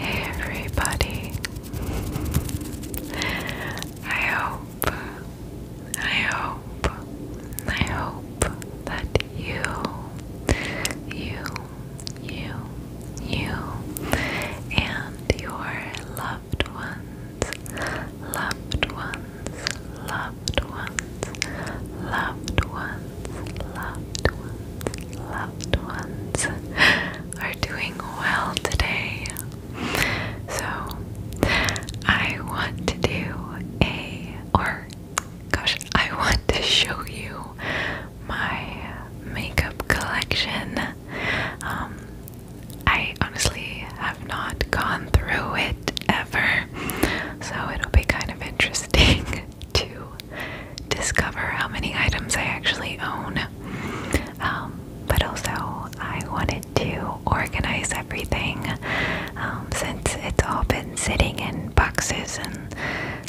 everybody. I hope, I hope, I hope that you, you, you, you, and your loved ones, loved ones, loved ones, loved ones, loved ones, loved ones are doing well today. So, I want to do a, or gosh, I want to show you my makeup collection. Um, I honestly have not gone through it ever, so it'll be kind of interesting. to discover how many items I actually own. Um, but also, I wanted to organize everything um, since it's all been sitting in boxes and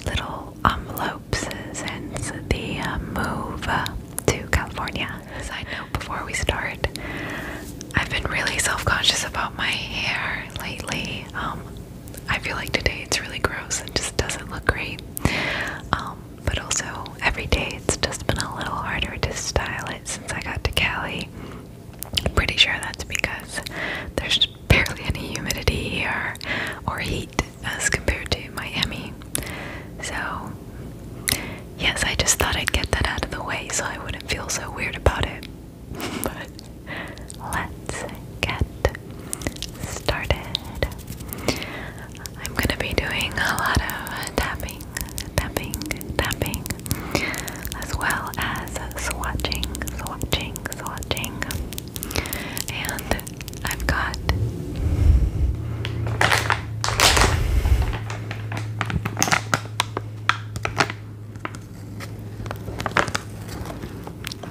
little envelopes since the uh, move uh, to California. Side note before we start, I've been really self conscious about my hair lately. Um, I feel like today it's really gross and just doesn't look great. Um, but also, every day it's just been a little harder to style it since I got to Cali. I'm pretty sure that's because there's barely any humidity here or heat as compared to Miami. So, yes, I just thought I'd get that out of the way so I wouldn't feel so weird about it but let's get started. I'm gonna be doing a lot of tapping, tapping, tapping, as well as swatching, swatching, swatching. And I've got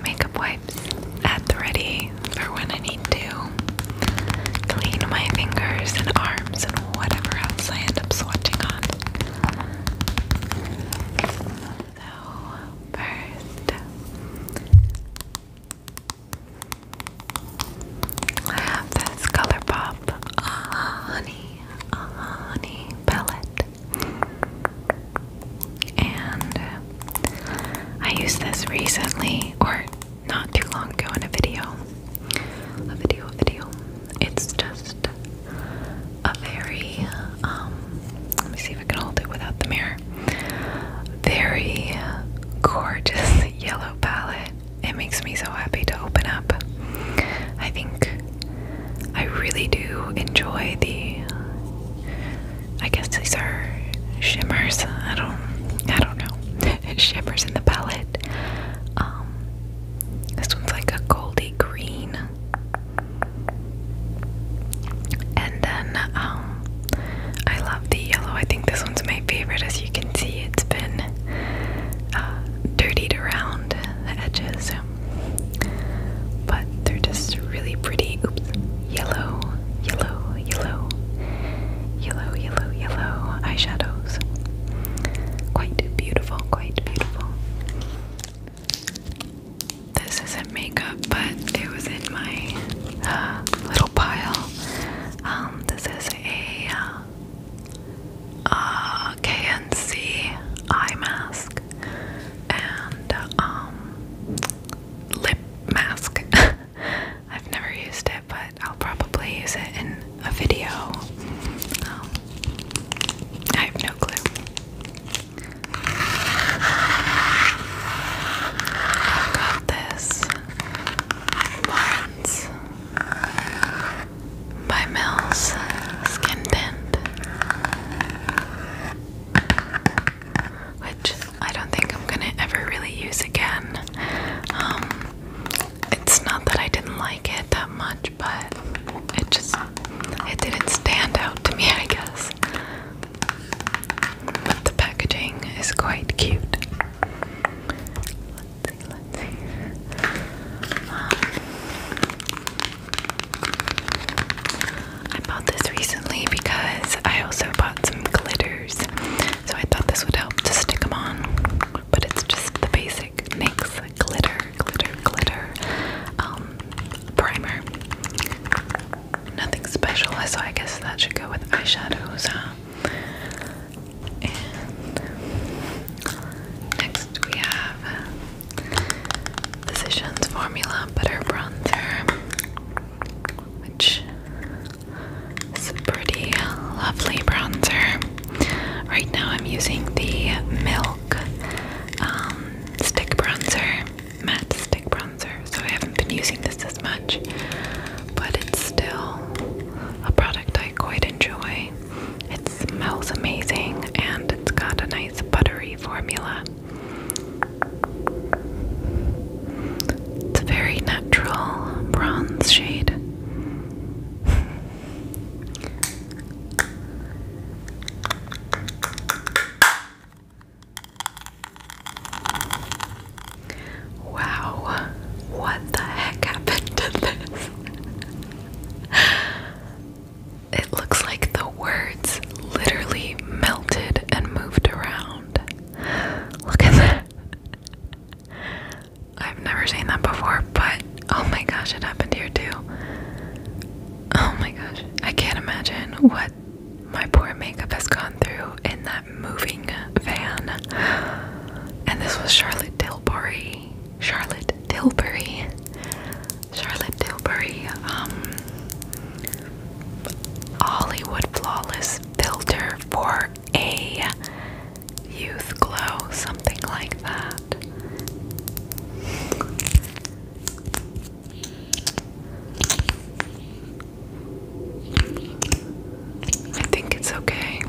Makeup wipes at the ready for when I need to clean my fingers and arms and whatever else I end up swatching on. So, first, I have this ColourPop Honey, Honey palette. And I used this recently, or not too long ago, in a video. A video, video. It's just a very, um, let me see if I can hold it without the mirror. Very gorgeous yellow palette. It makes me so happy to open up. I think I really do enjoy the I guess these are shimmers. I don't I don't know. shimmers in the palette. Um, this one's like a goldy green. And then um, I love the yellow. I think this one's my favorite as you can see it's been uh, dirtied around the edges. But they're just really pretty. Oops. Yellow, yellow, yellow, yellow, yellow, yellow eyeshadows. Quite beautiful, quite beautiful. This isn't makeup, but it was in my uh, little pile. Um, this is a uh, uh, KNC eye mask, and um, lip mask. I've never used it, but I'll probably use it in a video. Um, I have no clue. I've this by Mills Skin Tint which I don't think I'm gonna ever really use again. Um, it's not that I didn't like it that much, but it just it didn't stand out to me, I guess. But the packaging is quite cute. Let's see, um, I bought this recently because I also bought some glitters, so I thought this would help to stick them on. But it's just the basic NYX glitter, glitter, glitter um, primer. Nothing special, so I guess that should go with eyeshadows. Huh? next we have Physicians Formula Butter Bronzer which is a pretty lovely bronzer. Right now, I'm using the Milk um, Stick Bronzer, matte stick bronzer. So I haven't been using this as much, but it's still a product I quite enjoy. It smells amazing and it's got a nice buttery formula. It's a very natural bronze shade. Wow, what the heck happened to this? It looks like the words literally melted and moved around. Look at that. I've never seen that before, but oh my gosh, it happened here too. Oh my gosh. I can't imagine what my poor makeup has gone through in that moving van. And this was Charlotte Tilbury. Charlotte Tilbury. Charlotte Tilbury. Um Hollywood Flawless Filter for a Youth Glow, something like that. I think it's okay.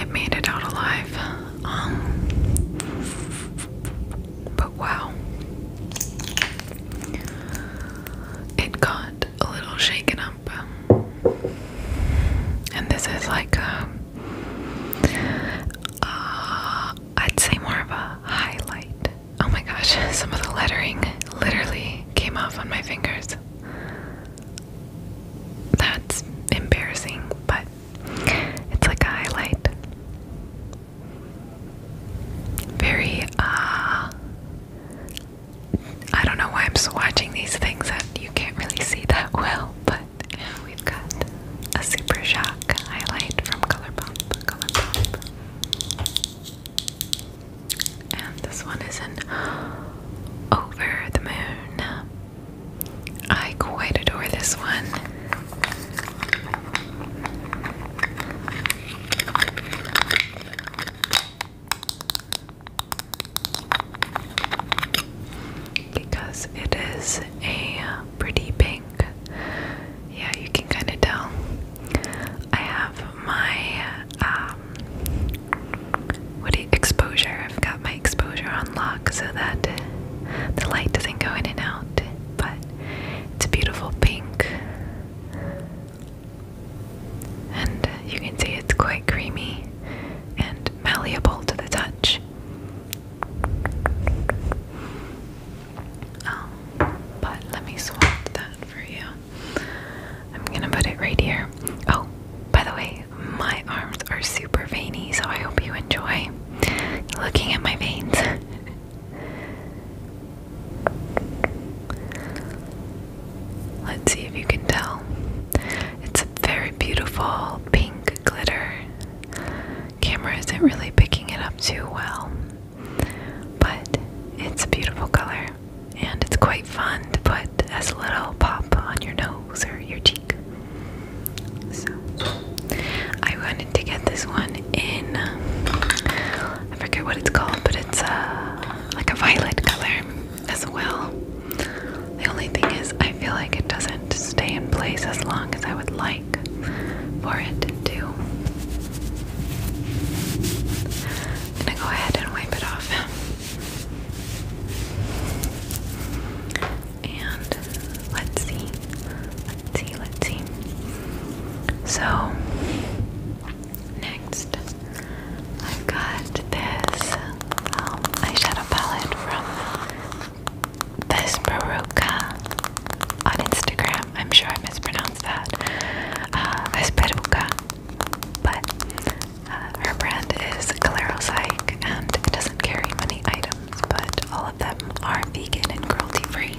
It made it out alive. Um, but wow. It got a little shaken up. And this is like uh, I'd say more of a highlight. Oh my gosh, some of the lettering literally came off on my fingers. That's embarrassing, but it's like a highlight very uh, I don't know why I'm swatching these things that you can't really see that well, but we've got a super shock highlight from Colourpop, Colourpop. And this one is in Over the Moon. I quite adore this one. Because it is a pretty pink. Yeah, you can kind of tell. I have my um, exposure. I've got my exposure on lock so that the light doesn't go in and out. But it's a beautiful pink. And you can see it's quite creamy and malleable to the touch. Oh, but let me swap that for you. I'm gonna put it right here. Oh, by the way, my arms are super veiny, so I hope you enjoy looking at my veins. Let's see if you can tell. It's a very beautiful pink glitter. Camera isn't really picking it up too well, but it's a beautiful color and it's quite fun to put as a little pop on your nose or your cheek. So. I wanted to get this one in. I forget what it's called, but it's uh, like a violet color as well. The only thing is, I feel like it doesn't stay in place as long as I would like for it to. gonna go ahead and wipe it off. And let's see. Let's So, next, I've got this um, eyeshadow palette from this Peruca on Instagram. I'm sure I mispronounced that. Uh, this Peruca, but uh, her brand is Calero Psych and it doesn't carry many items, but all of them are vegan and cruelty free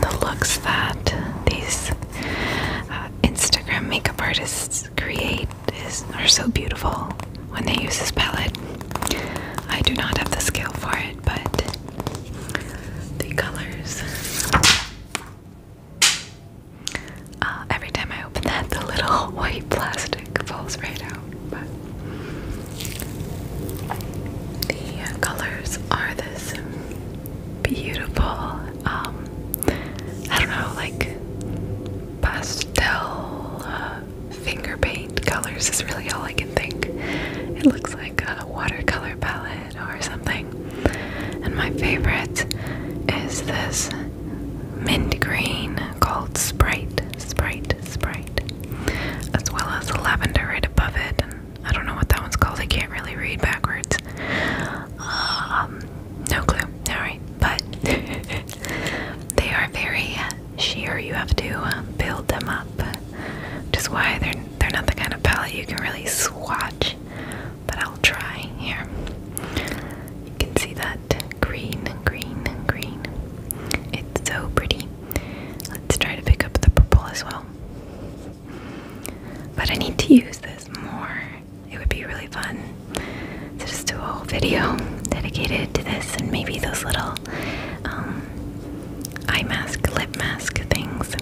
the looks that these uh, Instagram makeup artists create is are so beautiful when they use this palette. I do not have the skill for it, but the colors. Uh, every time I open that, the little white plastic falls right out the colors are this beautiful, um, I don't know, like pastel uh, finger paint colors is really all I can think. It looks like a watercolor palette or something. And my favorite is this mint green called Sprite. Sprite, Sprite as well as lavender right above it. I don't know what that one's called. I can't really read backwards. Um, no clue. All right, but they are very sheer. You have to uh, build them up. which is why they're they're not the kind of palette you can really swatch. But I'll try here. You can see that green, green, green. It's so pretty. Let's try to pick up the purple as well. But I need to use this more. It would be really fun to just do a whole video dedicated to this and maybe those little um, eye mask, lip mask things.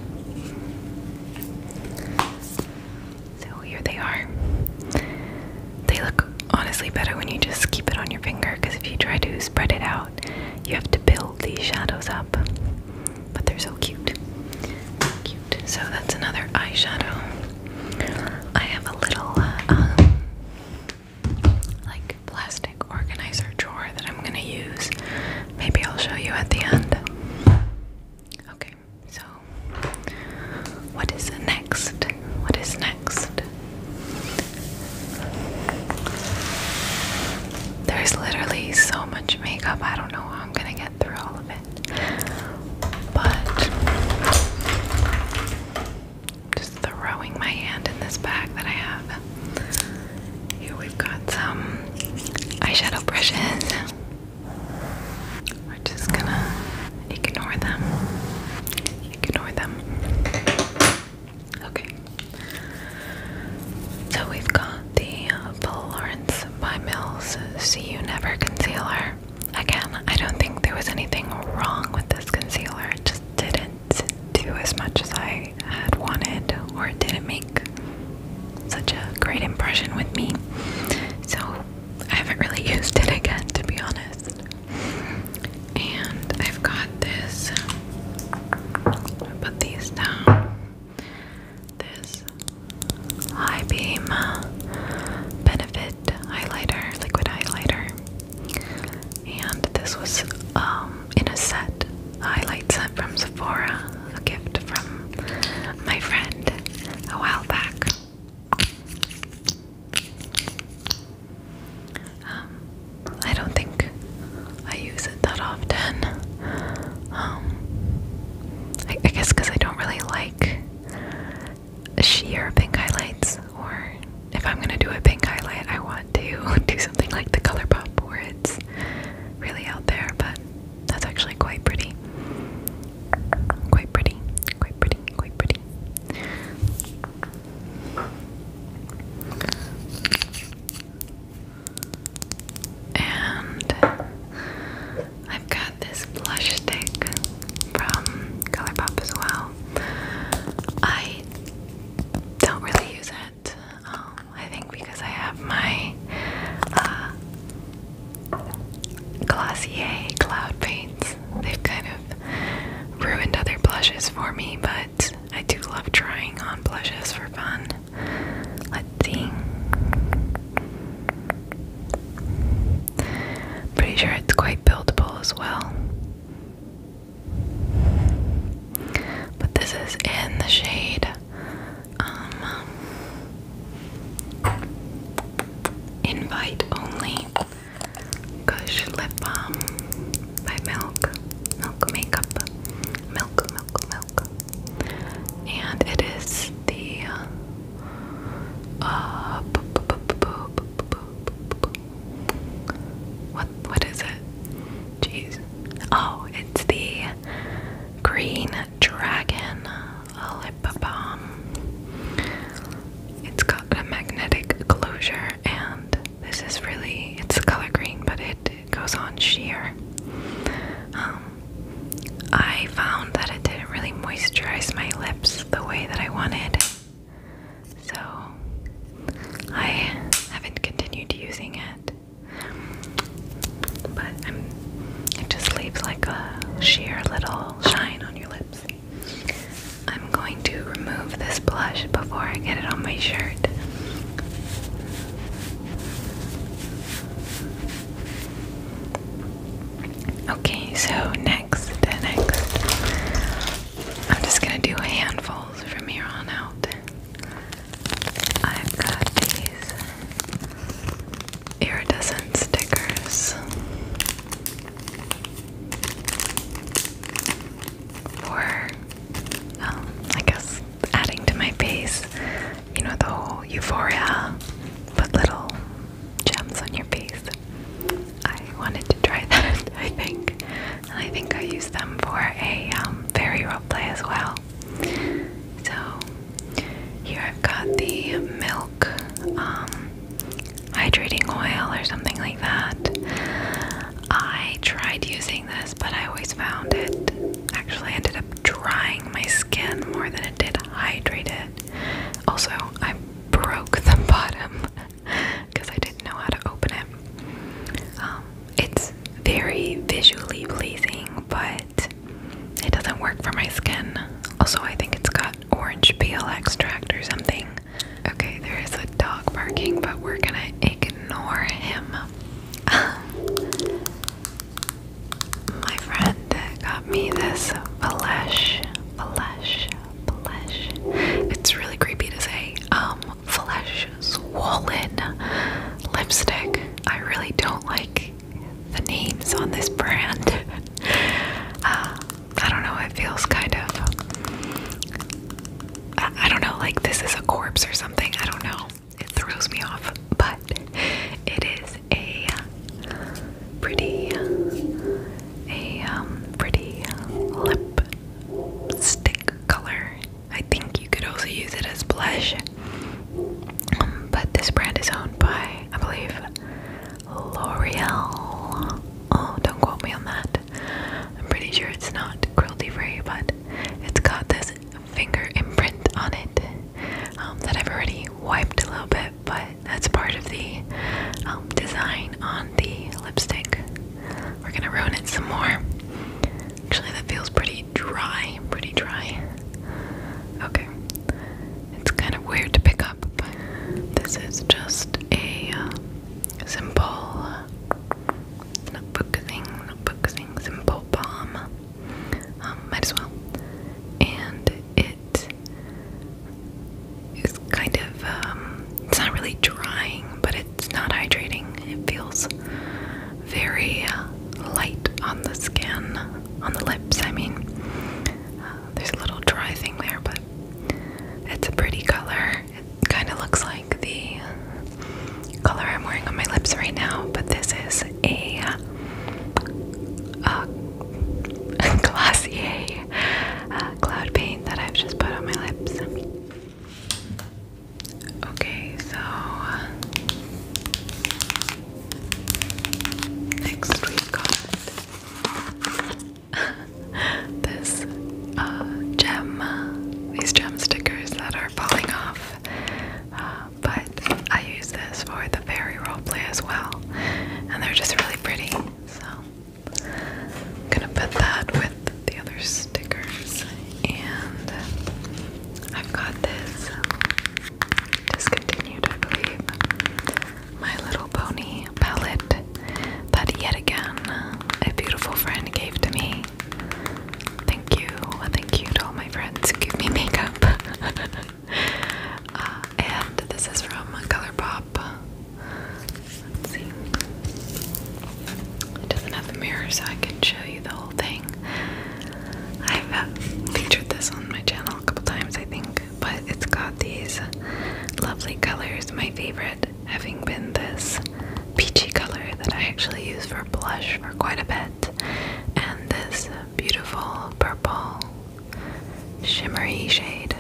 So here they are. They look honestly better when you just keep it on your finger because if you try to spread it out, you have to build these shadows up. But they're so cute. Cute. So that's another eyeshadow. I have a little uh, um, like plastic organizer drawer that I'm gonna use. Maybe I'll show you at the end. Okay, so what is next? What is next? There's literally so much makeup, I don't know how I'm gonna get through all of it. But just throwing my hand in this bag that I have. Here we've got some eyeshadow brushes. We're just gonna ignore them. Ignore them. Okay. So we've got the Florence uh, by Mills See You Never concealer. Again, I don't think there was anything wrong with this concealer. It just didn't do as much as I had wanted, or it didn't make such a great impression with me. So I haven't really used it again, to be honest. And I've got this. put these down. This High Beam Benefit Highlighter, Liquid Highlighter. And this was um, in a set, a highlight set from Sephora, a gift from my friend a while back. Um, I don't think I use it that often. Um, I, I guess because I don't really like sheer pink highlights, or if I'm gonna do a pink highlight, I want to do something like the ColourPop where it's really out there, but that's actually quite pretty. Quite pretty, quite pretty, quite pretty. And I've got this blush stick from Color as well. I don't really use it. Um, I think because I have my uh, Glossier Cloud Paints. They've kind of ruined other blushes for me, but I do love trying on blushes for fun. Let's see. Pretty sure it's quite buildable as well. But this is in the shade um, invite only gush lip balm by Milk, Milk Makeup, Milk, Milk, Milk, and it is the what what is it? Jeez, oh, it's the Green Dragon Lip Balm. It's got a magnetic closure and this is really, it's color green, but it, goes on sheer. Um, I found that it didn't really moisturize my lips the way that I wanted, so I haven't continued using it. But it just leaves like a sheer little shine on your lips. I'm going to remove this blush before I get it on my shirt. Okay, so next, next, I'm just gonna do handfuls from here on out. I've got these iridescent stickers for, um, I guess adding to my face. You know, the whole euphoria, but little gems on your face. I wanted to try that, I think. And I think I used them for a very um, fairy play as well. So, here I've got the milk um, hydrating oil or something like that. I tried using this but I always found it actually ended up drying my skin more than it did hydrate it. Also, I broke the bottom because I didn't know how to open it. Um, it's very visually pleasing, but it doesn't work for my skin. Also, I think it's got orange peel extract or something. Okay, there is a dog barking, but we're gonna ignore him. my friend got me this flesh, flesh, flesh. It's really creepy to say. Um, flesh swollen lipstick. I really don't like the names on this brand. Uh, I don't know. It feels kind of. I don't know. Like this is a corpse or something. I don't know it throws me off, but it is a pretty, a um, pretty lip stick color. I think you could also use it as blush, um, but this brand is owned by, I believe, L'Oreal. Oh, don't quote me on that. I'm pretty sure it's not cruelty free, but it's got this finger imprint on it um, that I've already wiped a little bit, but that's part of the um, design on the lipstick. We're gonna ruin it some more. Actually, that feels pretty dry, pretty dry. Okay, it's kind of weird to pick up, but this is just a uh, simple not focusing, not focusing, simple bomb. Um, might as well. And it is kind of, um, it's not really drying, but it's not hydrating. It feels very uh, light on the skin, on the lips, I mean. Uh, there's a little dry thing there, but it's a pretty color. It kind of looks like the color I'm wearing on my lips right now, but this is a, uh, a Glossier uh, cloud paint that I've just put on my lips. Okay, so next we got this uh, gem, these gem stickers that are falling off. Uh, but I use this for the fairy role play as well, and they're just really pretty. So I'm gonna put that with the other stickers, and I've got this discontinued, I believe, My Little Pony palette that yet again a beautiful friend gave to me Thank you, thank you to all my friends give me makeup. Uh, and this is from ColourPop. Let's see. It doesn't have a mirror, so I can show you the whole thing. I've uh, featured this on my channel a couple times, I think, but it's got these lovely colors. My favorite having been this peachy color that I actually use for blush for quite a bit and this beautiful purple shimmery shade.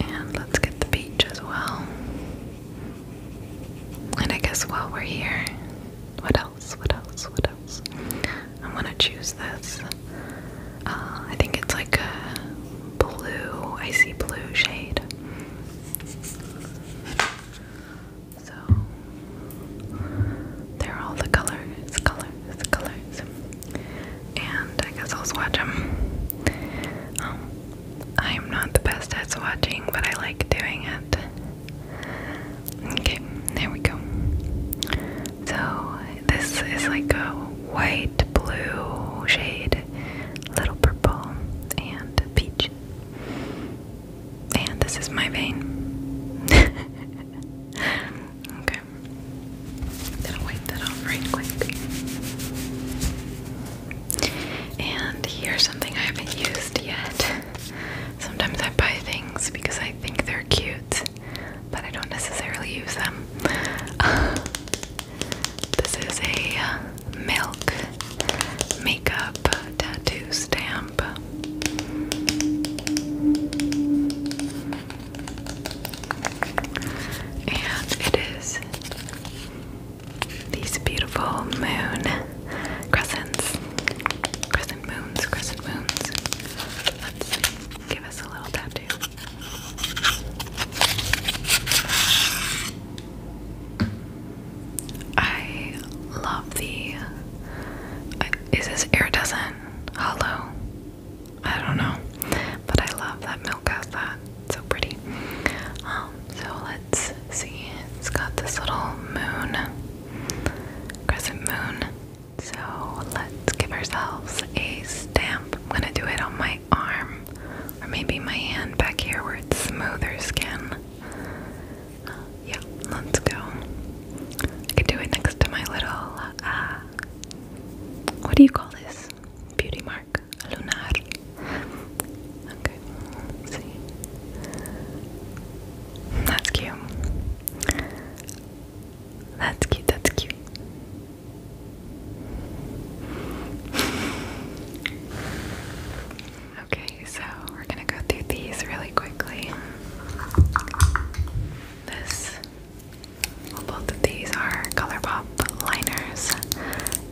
And let's get the beach as well. And I guess while we're here, what else? What else? What else? i want to choose this. Uh, I think it's like a blue, icy blue shade. So they're all the colors, colors, colors. And I guess I'll swatch them. Um, I'm not the best at swatching, but I like doing it. Okay, there we go. So this is like a white, blue shade, little purple, and peach. And this is my vein. okay. Gonna wipe that off right quick. And here's something I haven't used yet. Sometimes I buy things because I think they're cute, but I don't necessarily use them. this is a uh, milk makeup tattoo stamp damp. And it is these beautiful moon crescents. Crescent moons, crescent moons. Let's give us a little tattoo. I love the. Uh, is this iridescent? Hollow? I don't know. But I love that milk has that. It's so pretty. Um, so let's see. It's got this little moon, crescent moon. So let's give ourselves a stamp. I'm gonna do it on my arm, or maybe my hand back here where it's smoother skin. Yeah, let's go. I could do it next to my little, uh, what do you call this? Beauty mark? Lunar. Okay, see. That's cute. That's cute, that's cute. Okay, so we're gonna go through these really quickly. This, both of these are ColourPop liners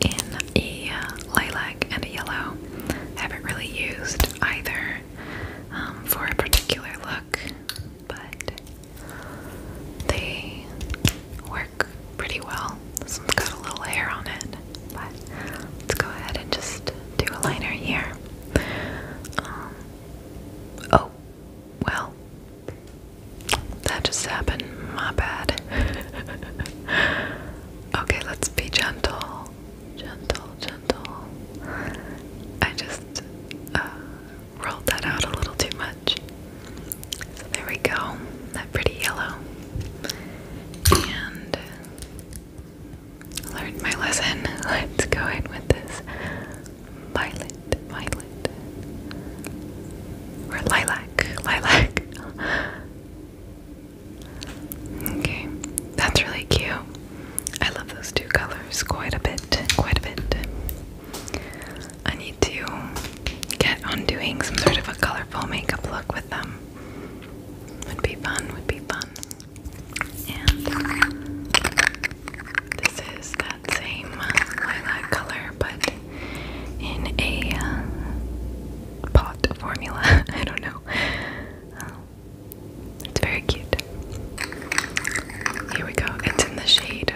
in a lilac and a yellow. haven't really used either um, for a particular look, but they work pretty well. one's got a little hair on it but let's go ahead and just do a liner here. Um, oh, well, that just happened. My bad. okay, let's be gentle. Gentle, gentle. I just uh, rolled that out a little too much. So there we go. That pretty yellow. And learned my lesson. Let's go in with this violet, violet, or lilac, lilac. Okay, that's really cute. I love those two colors quite a bit, quite a bit. I need to get on doing some sort of a colorful makeup look with them. Would be fun, would be fun. And this is that same lilac color, but in a uh, pot formula. I don't know. Um, it's very cute. Here we go. It's in the shade.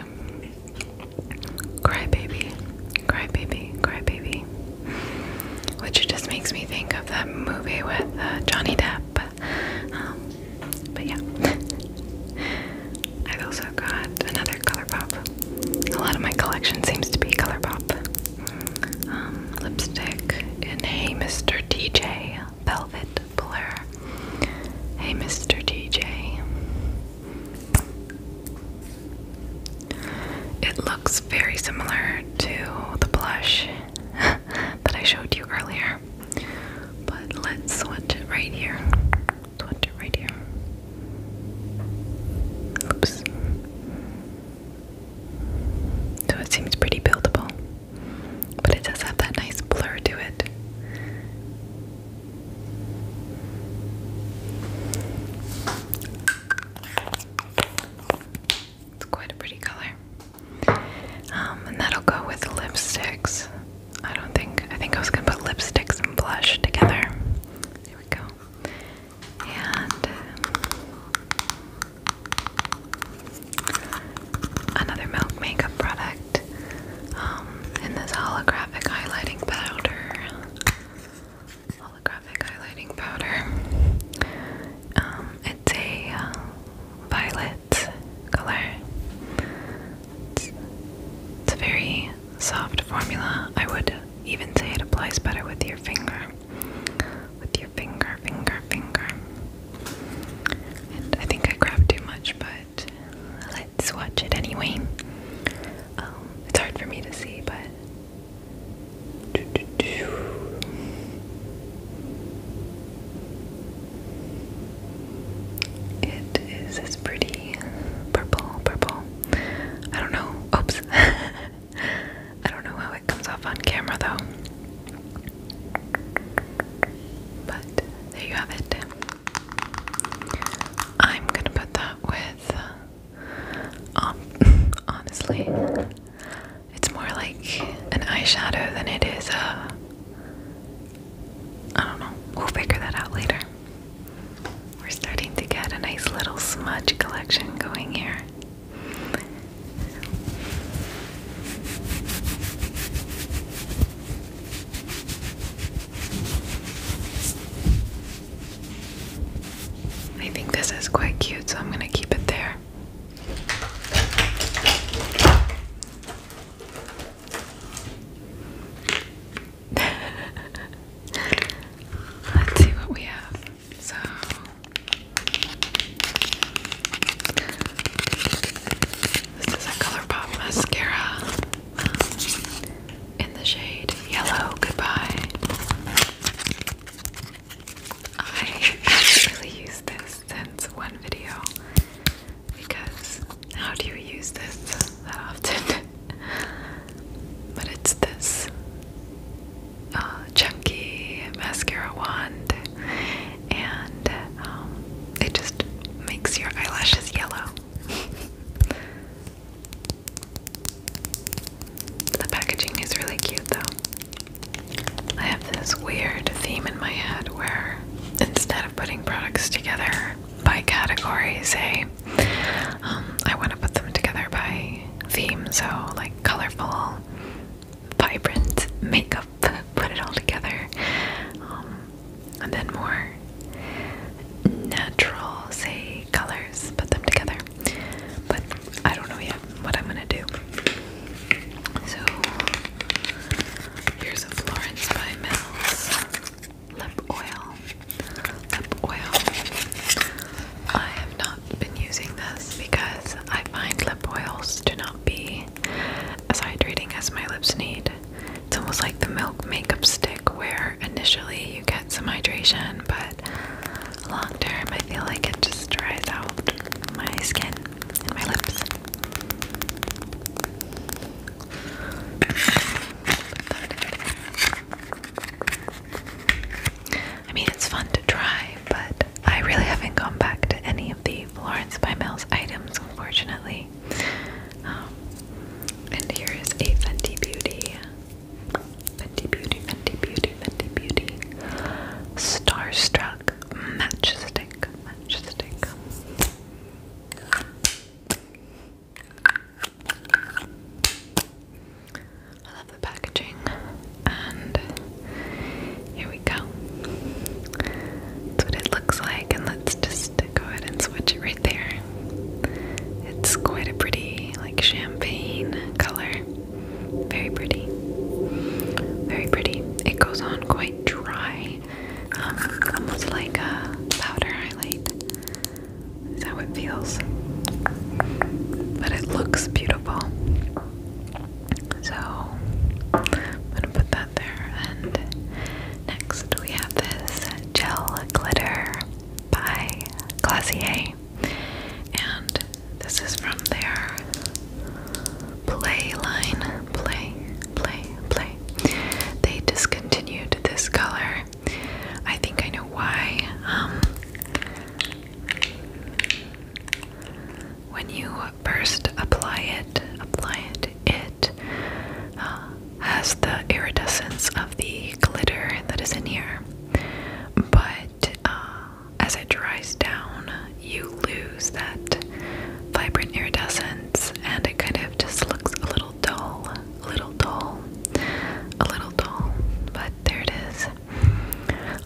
Cry baby, cry baby, cry baby which just makes me think of that movie with uh, Johnny Depp. Um, but yeah, I've also got another color pop. A lot of my collection seems to be color pop. Um, lipstick in Hey Mr. DJ Velvet Blur. Hey Mr. DJ. It looks very similar to the blush that I showed you earlier. But let's switch it right here. Switch it right here. Oops. So it seems pretty buildable. But it does have that nice blur to it. It's quite a pretty color. Um, and that'll go with lipsticks. I don't think, I think I was gonna put lipsticks and blush together. There we go. And um, another Milk makeup product. Um, and this holographic highlighting powder. Holographic highlighting powder. Um, it's a uh, violet color. It's, a very soft formula. I would even say it applies better with your finger. With your finger, finger, finger. I think I grabbed too much, but let's watch it anyway. Um, it's hard for me to see, but it is this pretty purple, purple. I don't know. Oops. I don't know how it comes off on camera though. But there you have it. I'm gonna put that with. Uh, honestly, it's more like an eyeshadow than it is a. I don't know. We'll figure that out later. We're starting to get a nice little smudge collection going here. I think this is quite cute, so I'm going to keep it there. Let's see what we have. So this is a ColourPop mascara um, in the shade Yellow Goodbye. I actually use this since one video because how do you use this that often? but it's this uh, chunky mascara wand, and um, it just makes your eyelashes yellow. the packaging is really cute, though. I have this weird theme in my head where instead of putting products together by categories, say, um, I want to put them together by theme, so like colorful, vibrant makeup, put it all together, um, and then more natural, say, colors, put them together. But I don't know yet what I'm gonna do. So here's a Florence by Mel's lip oil. Lip oil. I have not been using this because I find lip oils do not be as hydrating as my lips need. It's almost like the milk makeup stick where initially you get some hydration, but long term I feel like it just dries out my skin and my lips. I mean, it's fun to try, but I really haven't gone back to any of the Florence by Mills items, unfortunately. Um, and here is a Fenty Beauty, Fenty Beauty, Fenty Beauty, Fenty Beauty, Starstruck matchstick, matchstick. I love the packaging, and here we go. That's what it looks like, and let's just go ahead and switch it right there. It's quite a pretty, like champagne color. Very pretty. Very pretty. It goes on quite dry. Um, almost like a powder highlight. Is how it feels. But it looks beautiful. So I'm gonna put that there and next we have this gel glitter by Glossier and this is from there. Play line. Play, play, play. They discontinued this color. I think I know why. Um, when you first apply it, apply it, it uh, has the iridescence of the glitter that is in here. But uh, as it dries down, you lose that vibrant iridescence and it kind of just looks a little dull, a little dull, a little dull. But there it is.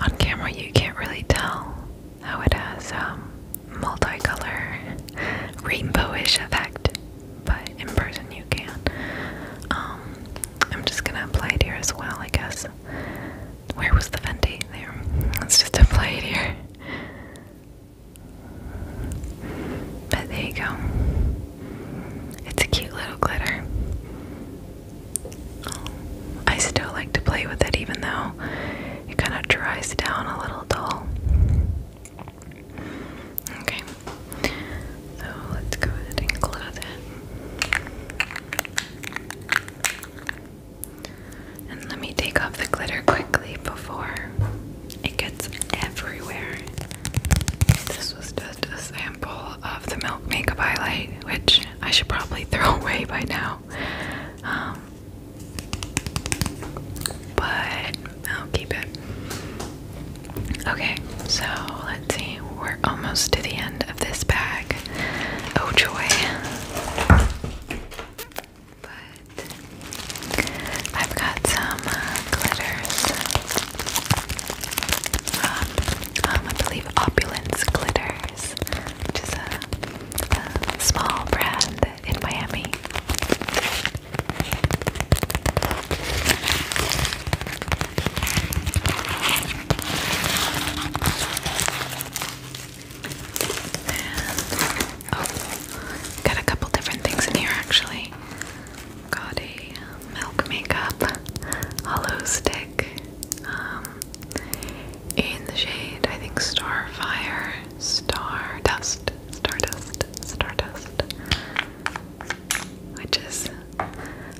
On camera, you can't really tell how it has a um, multicolor, rainbowish effect, but in person you can. Um, I'm just gonna apply it here as well, I guess. Where was the Fenty? There. Let's just apply it here. But there you go. It's a cute little glitter. I still like to play with it even though it kind of dries down a little dull. Okay, so let's go ahead and close it. And let me take off the glitter quickly before it gets everywhere. This was just a sample of the Milk Makeup Highlight, which I should probably throw away by now. Um, but I'll keep it. Okay, so let's see. We're almost to the end of this bag. Oh, joy. But I've got some uh, glitters. Um, um, I believe Opulence Glitters, which is a small brand in Miami. And, oh, got a couple different things in here actually. Got a milk makeup hollow stick um, in the shade, I think, star Starfire, Stardust, Stardust, Stardust, which is,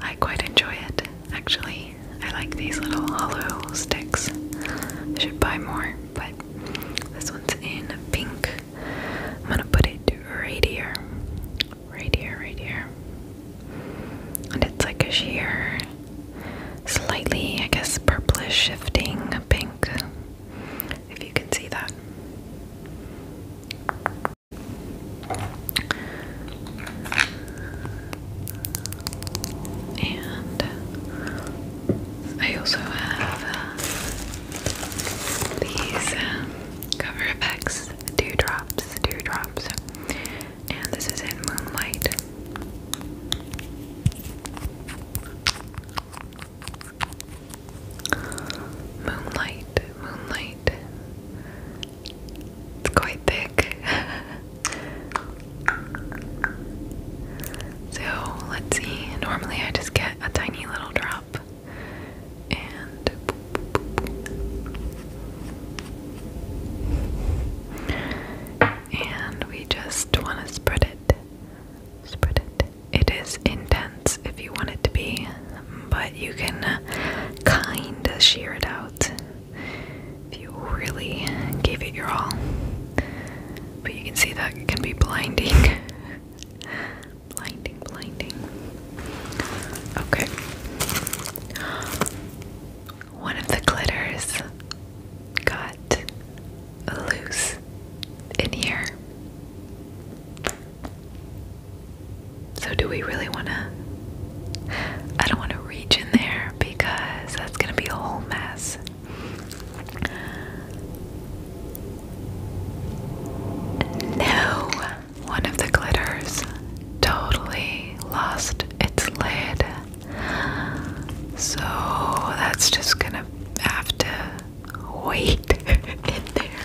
I quite enjoy it actually. I like these little hollow sticks. should buy more but this one's in pink. I'm gonna put it right here, right here, right here. And it's like a sheer, slightly, I guess, purplish shifting pink, if you can see that and I also have uh, these um, Cover FX Dewdrops, Dewdrops, and this is in Moonlight. Moonlight, Moonlight. It's quite thick. So let's see. Normally I just get a tiny little drop and we just want to spread it. Spread it. It is intense if you want it to be, but you can kind of shear it out if you really gave it your all. But you can see that can be blinding. blinding, blinding. Okay. One of the glitters got loose in here. So, do we really want to? I don't want to reach in there because that's going to be a whole mess. No, one of the glitters totally lost its lid. So that's just gonna have to wait in there.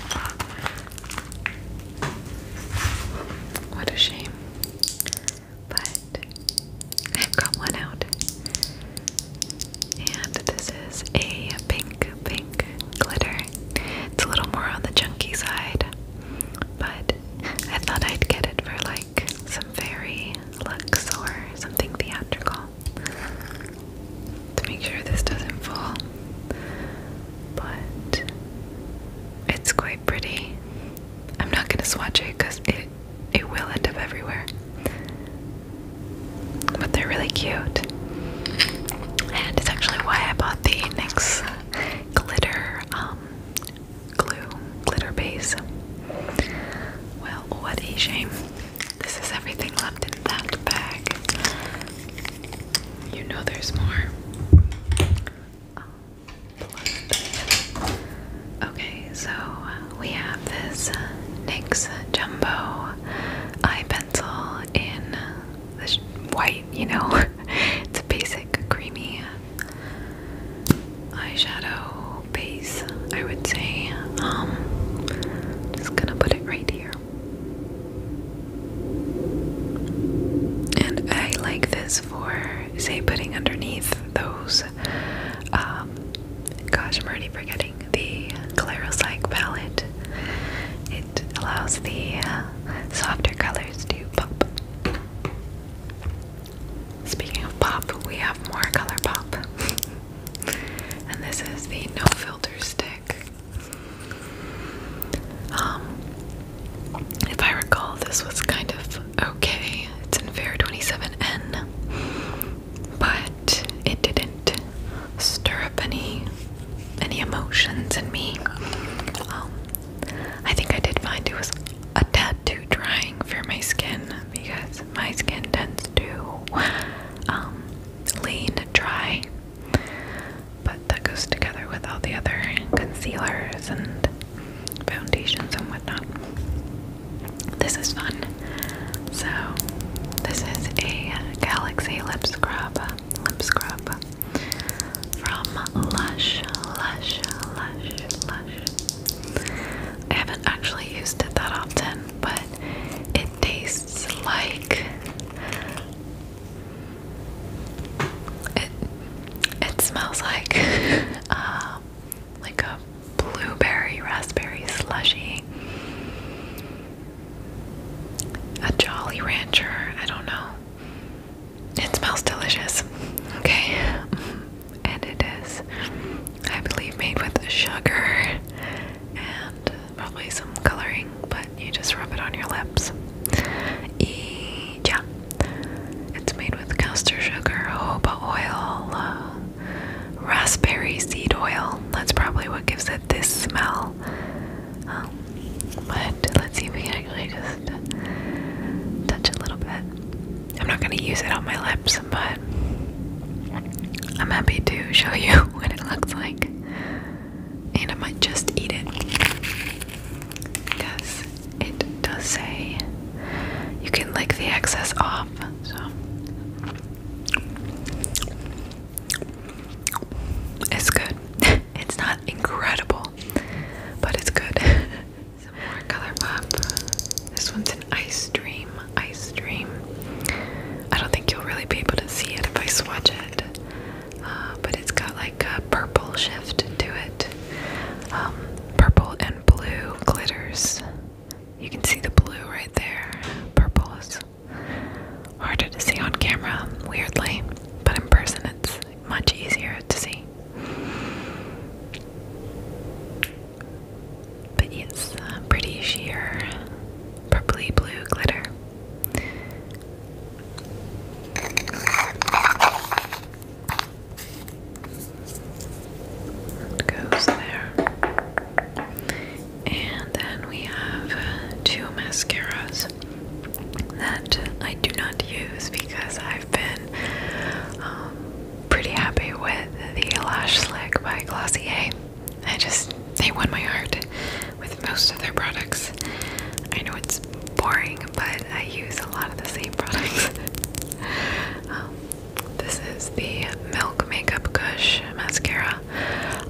What a shame. But but i one out. And this is a pink, pink glitter. It's a little more on the chunky side, but I thought I'd get it for like some fairy looks or something theatrical to make sure this doesn't fall. But it's quite pretty. I'm not gonna swatch it because it it will end up everywhere. But they're really cute. And it's actually why I bought the NYX glitter um, glue, glitter base. Well, what a shame. This is everything left in that bag. You know there's more. Um, okay, so we have this NYX Jumbo eye pencil in this white, you know, it's a basic creamy eyeshadow base, I would say. Um, just gonna put it right here. And I like this for, say, putting underneath those um, gosh, I'm already forgetting the Clarosyke palette. It allows the uh, softer colors to pop. Speaking of pop, we have more color pop. and this is the no filter stick. Um, if I recall, this was kind of okay. It's in Fair 27N but it didn't stir up any any emotions in me. Um, I think I did find it was a tad too drying for my skin because my skin tends to um, lean dry, but that goes together with all the other concealers and foundations and whatnot this is fun. So, this is a Galaxy lip scrub, lip scrub from Lush, Lush, Lush, Lush. I haven't actually used it that often, but it tastes like it. It smells like. Uh, like a blueberry raspberry slushy. A Jolly Rancher, I don't know. It smells delicious. Okay. And it is, I believe, made with sugar and probably some coloring, but you just rub it on your lips. yeah. It's made with castor sugar, jojoba oil, uh, raspberry seed oil. That's probably what gives it this smell. Um, but let's see if we actually just touch a little bit. I'm not going to use it on my lips, but I'm happy to show you what it looks like. And I might just eat it. Because it does say you can lick the excess off. So it's good. it's not incredible, but it's good. Some more color pop. This one's an ice dream. Ice dream. I don't think you'll really be able to see it if I swatch it, uh, but it's got like a purple shift to it. Um, purple and blue glitters. You can see the blue right there. Purple is harder to see on camera, weirdly, but in person it's much easier to see. But it's uh, pretty sheer purpley blue glitter. It goes there. And then we have uh, two mascaras that I do not use because I've been um, pretty happy with the Lash Slick by Glossier. I just, they won my heart with most of their products. I know it's boring, but I use a lot of the same products. Um, this is the Milk Makeup Gush Mascara.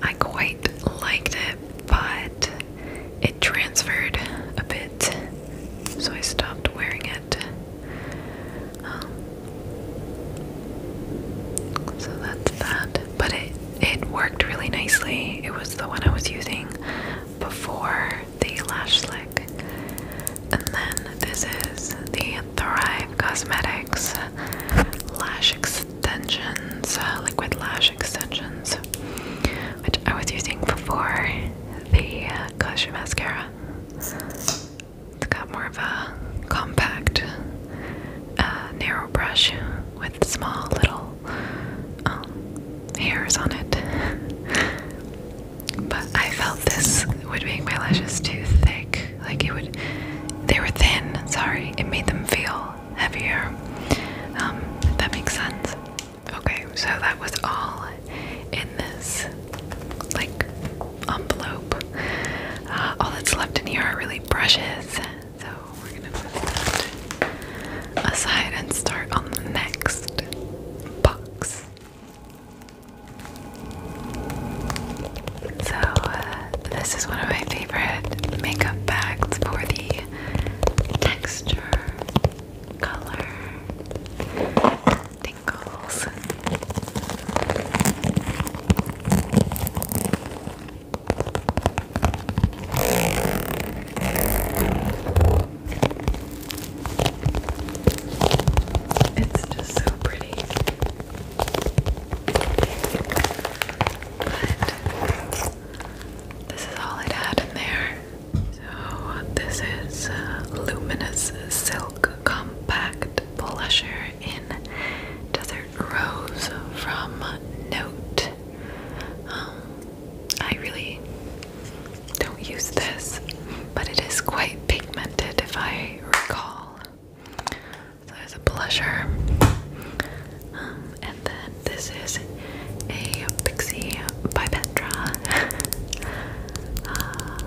I quite liked it, but it transferred a bit, so I stopped wearing it. Um, so that's that. But it it worked really nicely. It was the one I was using before the lash slick. And then this is the Thrive Cosmetics lash extensions, uh, liquid lash extensions, which I was using before the uh, mascara. It's got more of a compact, uh, narrow brush with small little um, hairs on it. but I felt this would make my lashes too thick like it would, they were thin. Sorry, it made them feel heavier. Um, that makes sense. Okay, so that was all in this like envelope. Uh, all that's left in here are really brushes. So we're gonna put that aside and start on the next box. So, uh, this is one of my favorite makeup bags for the texture, color, tingles. It's just so pretty. But this is all it had in there. So, this is uh, Luminous Silk Compact Blusher in Desert Rose from Note. Um, I really don't use this, but it is quite pigmented if I recall. So there's a pleasure, um, and then this is a Pixie by Petra. Uh,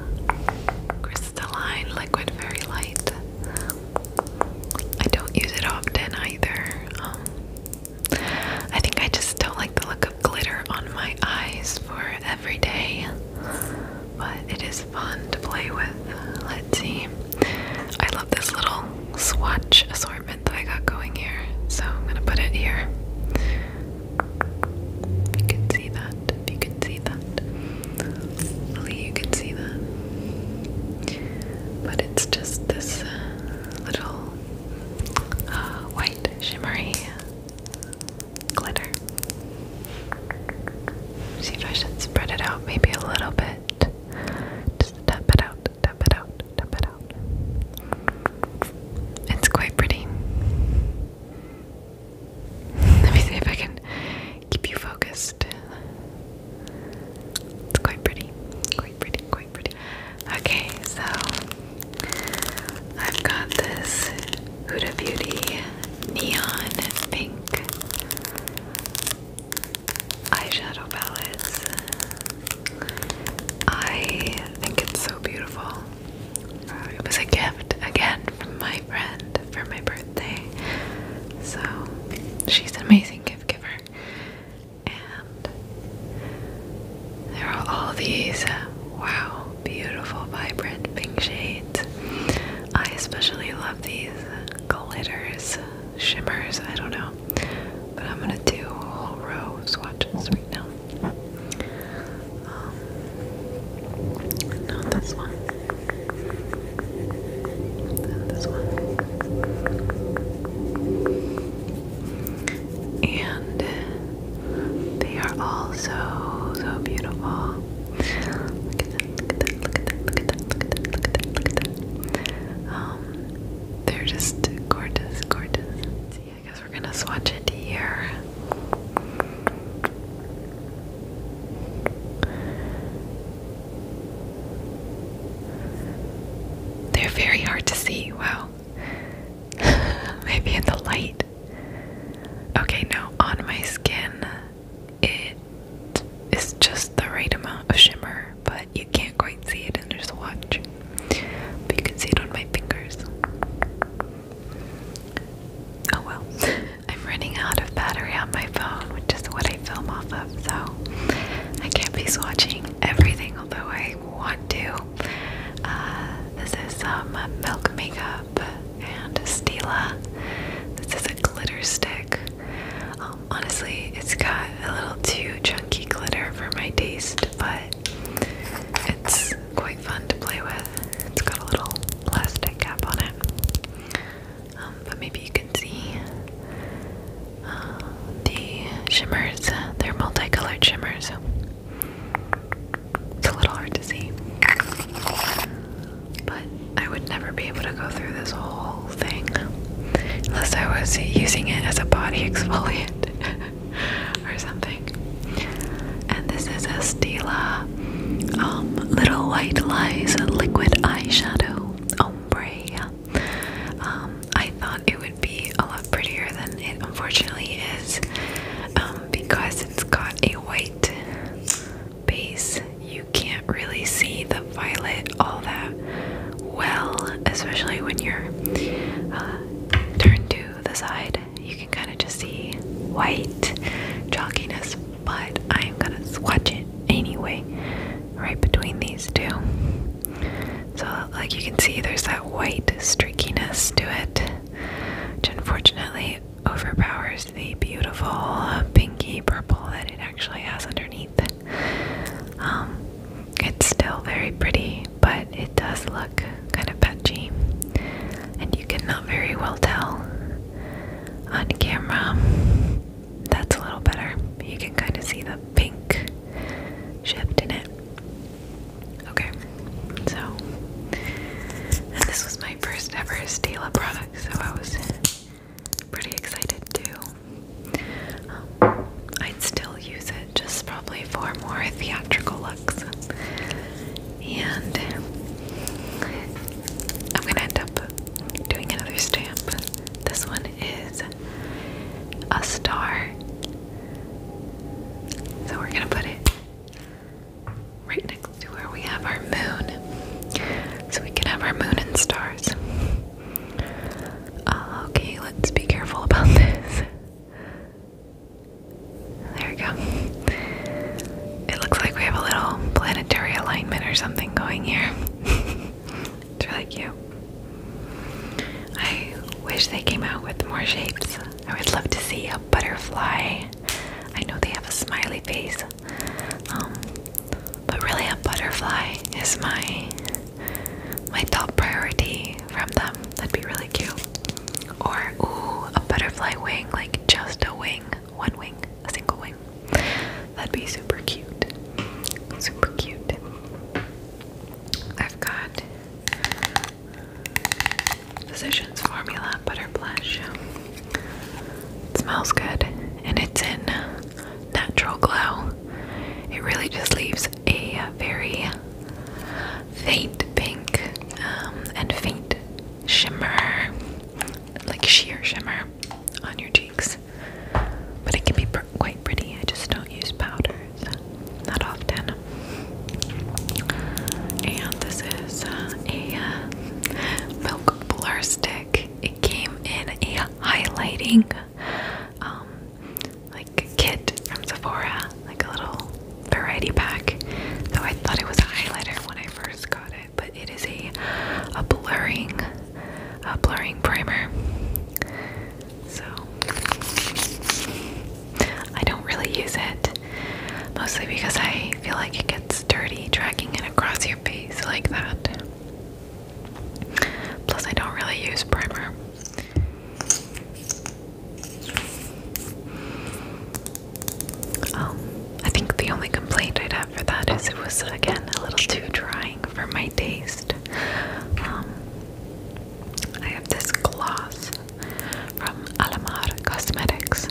crystalline liquid, very light. I don't use it often either. Um, I think I just don't like the look of glitter on my eyes for every day but it is fun to play with. Let's see. I love this little swatch assortment that I got going here, so I'm gonna put it here. If you can see that, if you can see that. Hopefully you can see that. But it's just this uh, little uh, white shimmery glitter. See if I should spread it out maybe a little bit. Just tap it out, tap it out, tap it out. It's quite pretty. Let me see if I can keep you focused. It's quite pretty, quite pretty, quite pretty. Okay, so I've got this Huda Beauty neon pink eyeshadow palettes. I think it's so beautiful. it was a gift again from my friend for my birthday. So she's an amazing gift giver. And there are all these uh, wow, beautiful, vibrant pink shades. I especially love these. Uh, glitters, shimmers, I don't know. But I'm gonna do a whole row of swatches right now. Um, not this one. this one. And they are all so, so beautiful. Look at look at that, look at that, look at that, look at that, look at that, um, they're just gorgeous, gorgeous. see, I guess we're gonna swatch it here. They're very hard to see. Wow. Maybe in the light. Okay, now on my skin, it is just the right amount of shimmer, but you can't quite see it in your swatch. But you can see it on my fingers. Oh well, I'm running out of battery on my phone, which is what I film off of, so I can't be swatching everything, although I want to. Uh, this is some um, Milk Makeup and Stila. This is a glitter stick. Um, honestly, it's got a little too chunky glitter for my taste, but it's quite fun to play with. It's got a little plastic cap on it. Um, but maybe you can see uh, the shimmers, they're multicolored shimmers. It's a little hard to see. But I would never be able to go through this whole thing unless I was using it as a body exfoliant or something. And this is a Stila um, Little White Lies Liquid Eyeshadow Ombre. Um, I thought it would be a lot prettier than it unfortunately is um, because it's got a white base, you can't really see the violet all that well, especially when you're uh, turned to the side. You can kind of just see white chalkiness, but I'm gonna swatch it anyway, right between these two. So, like you can see, there's that white streakiness to it, which unfortunately overpowers the beautiful pinky purple that it actually has underneath. Um, it's still very pretty, but it does look kind of patchy, and you cannot very well tell on camera. That's a little better. You can kind of see the pink shift in it. Okay, so, this was my first ever Stila product, so I was pretty excited too. Um, I'd still use it just probably for more theatrical looks. And I'm gonna end up doing another stamp. This one is a star. So we're gonna put it right next to where we have our moon. So we can have our moon and stars. Oh, okay, let's be careful about this. There we go. It looks like we have a little planetary alignment or something going here. it's really cute. I wish they came out with more shapes. I would love to see a butterfly. I know they have a smiley face um, but really, a butterfly is my my top priority from them. That'd be really cute. Or ooh, a butterfly wing, like just a wing, one wing, a single wing. That'd be super cute. Super cute. I've got Physicians Formula Butter Blush. It smells good, and it's in natural glow. It really just leaves a very faint pink um, and faint shimmer, like sheer shimmer on your cheeks. But it can be quite pretty. I just don't use powders that often. And this is uh, a uh, milk blur stick. It came in a highlighting um, like a kit from Sephora, like a little variety pack. So I thought it was a highlighter when I first got it, but it is a a blurring, a blurring primer. So I don't really use it, mostly because I feel like it gets dirty dragging it across your face like that. Plus, I don't really use primer. Um, I think the only complaint I'd have for that is it was again a little too drying for my taste. Um, I have this gloss from Alamar Cosmetics.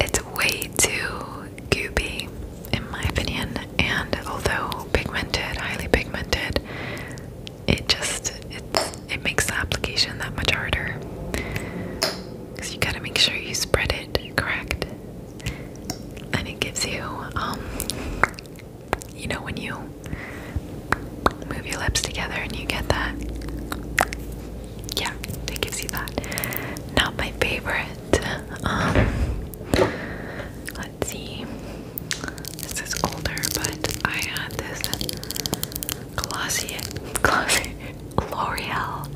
It's way too goopy, in my opinion. And although pigmented, highly pigmented, it just it makes the application that much harder. Because you gotta make sure you spread it correct, and it gives you um, you know, when you move your lips together and you get that. Yeah, it gives you that. Not my favorite. Um, Let's see. This is older, but I had this glossy, glossy L'Oreal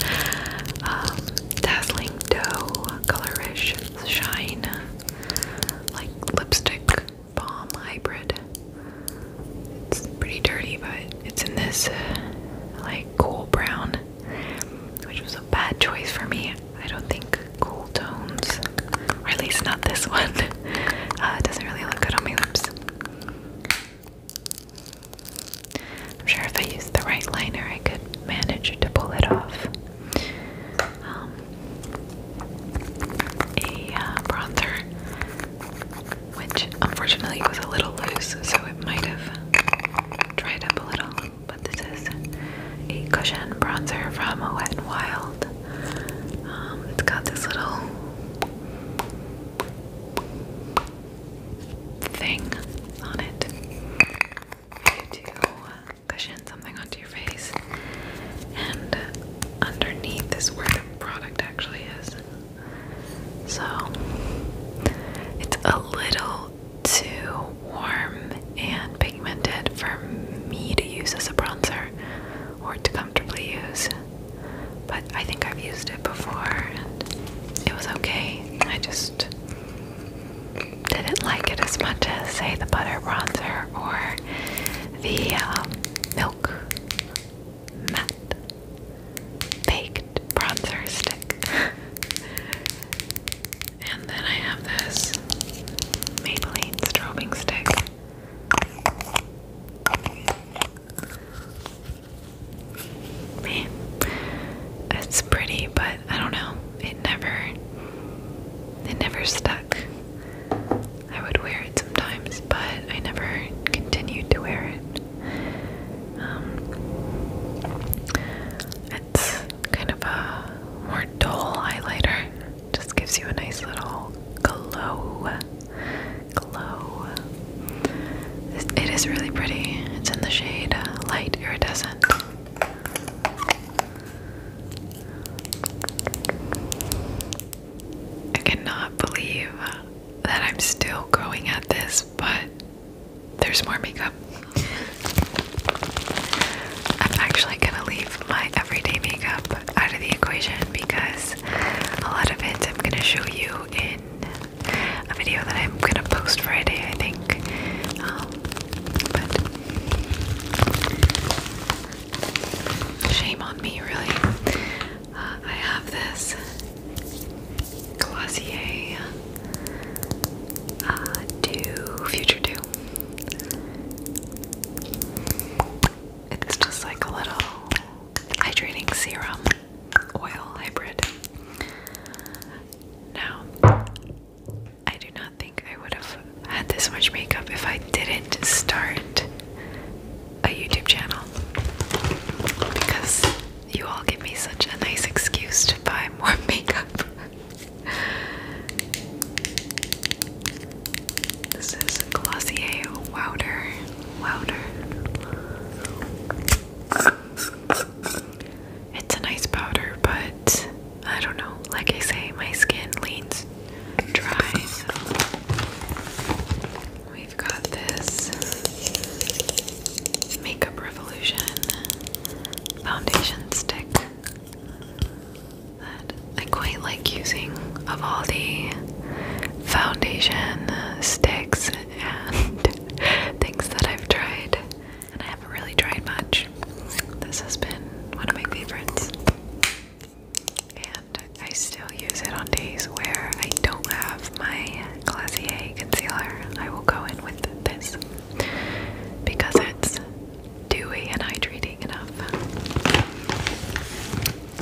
um, Dazzling Doe Colorish Shine, like lipstick balm hybrid. It's pretty dirty, but it's in this uh, like cool brown, which was a bad choice for me. I don't think cool tones, or at least not this one. Uh, doesn't really look good on my lips. I'm sure if I used the right liner, I could manage to pull it off. Um, a uh, bronzer, which unfortunately was a little loose, so it might have dried up a little but this is a cushion bronzer from Wet and Wild. Um, it's got this little thing on it. You cushion something onto your face, and underneath is where the product actually is. So it's a little too warm and pigmented for me to use as a bronzer or to comfortably use. But I think I've used it before and it was okay. I just didn't like it as much as, say, the butter bronzer or the um, milk matte baked bronzer stick. And then I have this Maybelline strobing stick. it's pretty, but I don't know. It never, it never stuck. I would wear it sometimes, but I never continued to wear it. Um, it's kind of a more dull highlighter. Just gives you a nice little glow. Glow. It is really pretty. It's in the shade light iridescent. I cannot believe that I'm still going at this, but there's more makeup. I'm actually gonna leave my everyday makeup out of the equation because a lot of it I'm gonna show you in a video that I'm gonna post Friday, I think. Um, shame on me, really. Uh, I have this Glossier uh, Do Future Do it's just like a little hydrating serum oil hybrid. Now, I do not think I would have had this much makeup if I didn't start a YouTube channel because you all give me such a nice excuse to buy more makeup. This is Glossier Wouter. Wouter. It's a nice powder, but I don't know. Like I say, my skin leans dry. So. We've got this Makeup Revolution foundation stick that I quite like using of all the foundation sticks and things that I've tried. And I haven't really tried much. This has been one of my favorites. And I still use it on days where I don't have my Glacier concealer. I will go in with this because it's dewy and hydrating enough.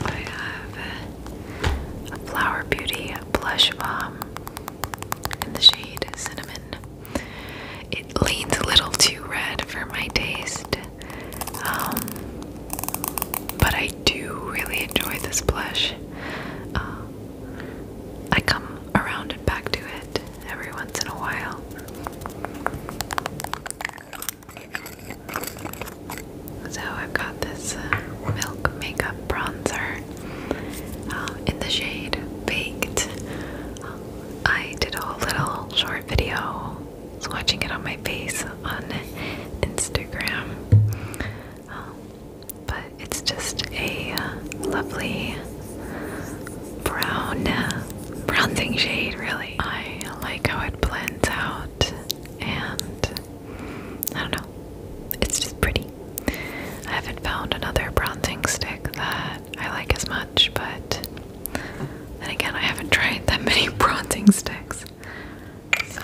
I have a Flower Beauty Blush Balm in the shade Cinnamon. It leans a little too red for my taste, um, but I do really enjoy this blush. Uh, I come around and back to it every once in a while. So I've got this uh, milk makeup bronzer um, in the shade Baked. Um, I did a little short video swatching it on my face on Instagram. Um, but it's just a uh, lovely brown, bronzing shade, really. I like how it blends out and I don't know, it's just pretty. I haven't found another bronzing stick that I like as much, but then again, I haven't tried that many bronzing sticks. So.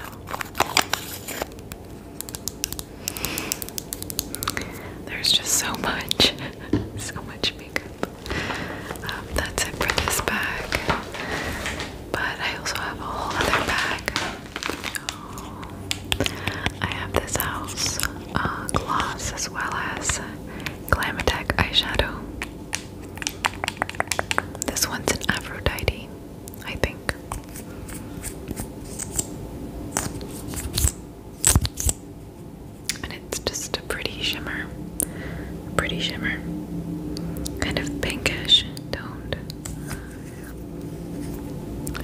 There's just so much, so much makeup. Um, that's it for this bag. But I also have a whole other bag. I have this house uh, gloss as well as Glamatec eyeshadow. This one's an Aphrodite, I think and it's just a pretty shimmer, a pretty shimmer, kind of pinkish toned.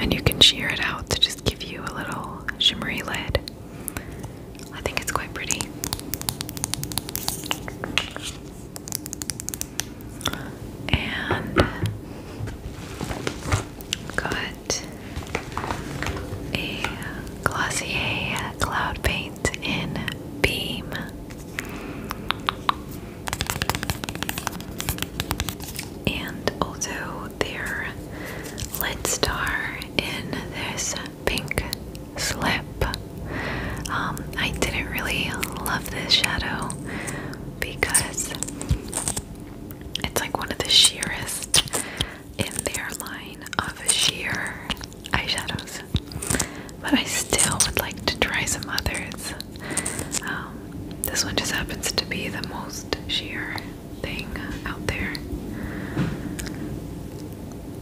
And you can shear it out to just give you a little shimmery lid. I think it's quite pretty. And got a Glossier Cloud Paint in Beam. And also their Lit Star in this pink slip. Um, I didn't really love this shadow because it's like one of the sheerest in their line of sheer eyeshadows. But I still would like to try some others. Um, this one just happens to be the most sheer thing out there.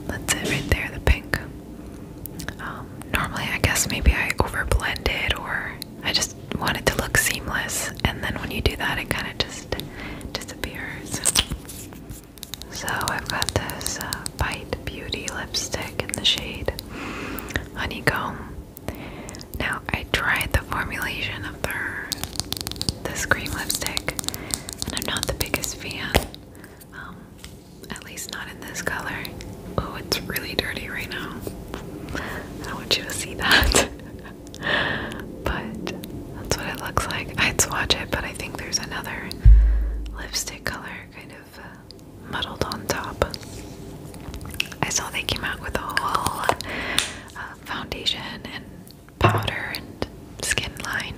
That's it right there, the pink. Um, normally, I guess maybe I overblend it or I just wanted to look seamless, and then when you do that, it kind of just disappears. So I've got this uh, Bite Beauty lipstick in the shade Honeycomb. Now I tried the formulation of the this cream lipstick, and I'm not the biggest fan. Um, at least not in this color. Oh, it's really dirty right now. I want you to see that. but that's what it looks like. I'd swatch it, but I think there's another lipstick color kind of uh, muddled on top. I saw they came out with a whole uh, foundation and powder and skin line,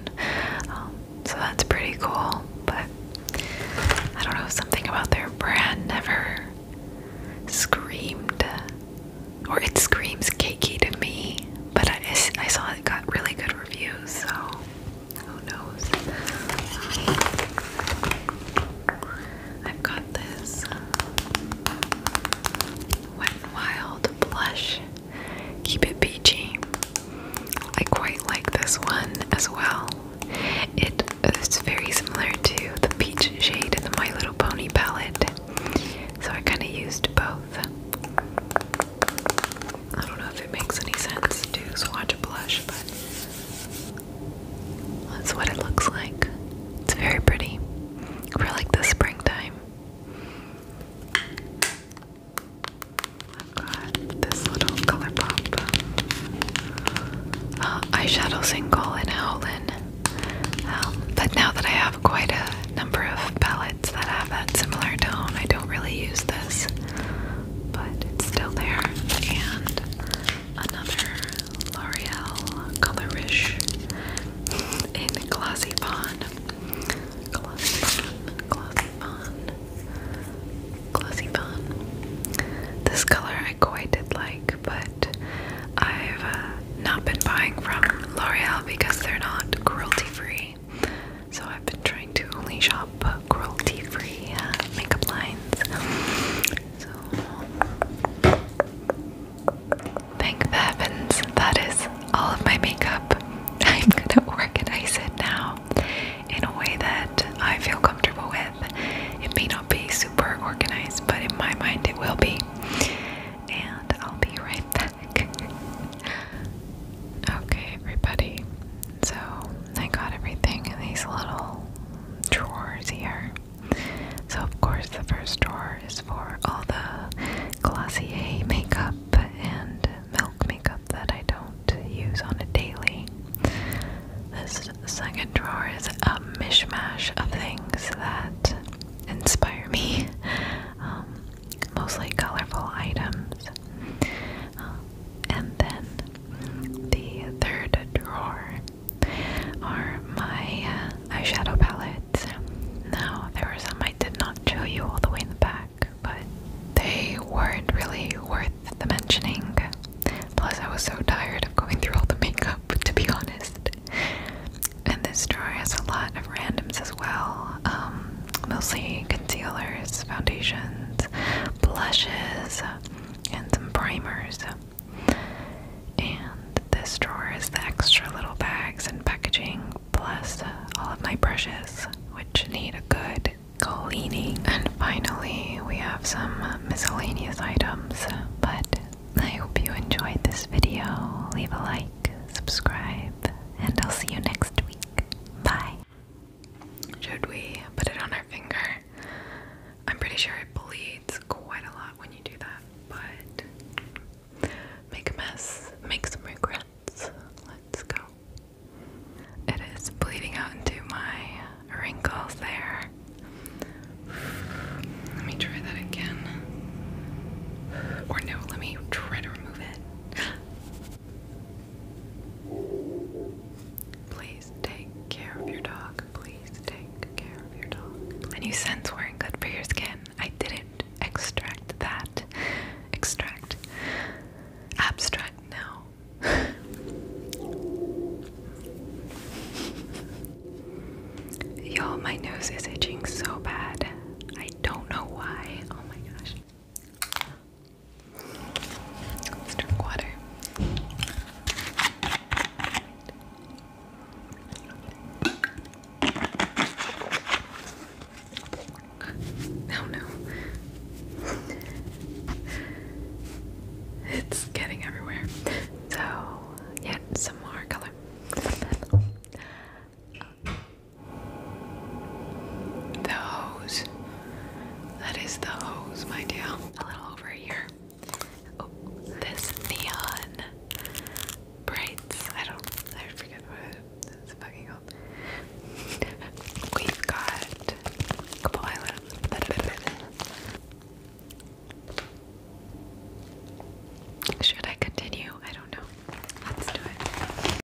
um, so that's pretty cool. But I don't know, something about their brand never screamed, or it screams cakey to me. But I, I saw it got really good so who knows? I've got this uh, Wet Wild blush. Keep it peachy. I quite like this one as well. It is very similar to the peach shade in the My Little Pony palette, so I kind of used both. I don't know if it makes any sense to swatch a blush, but that's what it looks like. It's very pretty for like the springtime. I've got this little ColourPop uh, eyeshadow single in Howlin. Um, but now that I have quite a number of palettes, that have that similar tone. I don't really use this, but it's still there. And another L'Oreal Colorish in Glossy Bond. Glossy Bond, Glossy Bond, This color I quite did like, but I've uh, not been buying from L'Oreal because they're not cruelty free. So I've been trying to only shop cruelty-free uh, makeup lines. thank heavens, that is all of my makeup. I'm gonna organize it now in a way that I feel comfortable with. It may not be super organized, but in my mind it will be. And I'll be right back okay, everybody. So I got everything in these little drawers here. So, of course, the first drawer is for all the Glossier makeup and milk makeup that I don't use on a daily. This second drawer is a mishmash of things that inspire me. Um, mostly colorful items. Um, and then the third drawer are my uh, eyeshadow palettes. Now, there were some I did not show you all the way in the back, but they weren't really worth the mentioning. Plus, I was so tired of going through all the makeup, to be honest. And this drawer has a lot of randoms as well. Um, mostly concealers, foundations, blushes, and some primers. And this drawer is the extra little bags and packaging, plus all of my brushes, which need a good cleaning. And finally, we have some miscellaneous items. But I hope you enjoyed this video. Leave a like, subscribe, and I'll see you next week. Bye. Should we put it on our finger? I'm pretty sure it bleeds quite a lot when you do that, but make a mess, make some regrets. Let's go. It is bleeding out into my wrinkles there. Let me try that again. Or no, let me try to remove it. Please take care of your dog. Please take care of your dog. And you scents were good for your skin. I didn't extract that. Extract. Abstract, no. Y'all, my nose is itching so bad. I don't know why. Oh my gosh let drink water. Oh no. it's getting everywhere. So, yeah, some more color. The hose. That is the hose, my dear. A little over here. Oh, this neon brights. I don't. I forget what it's fucking up. We've got couple islands. Should I continue? I don't know. Let's do it.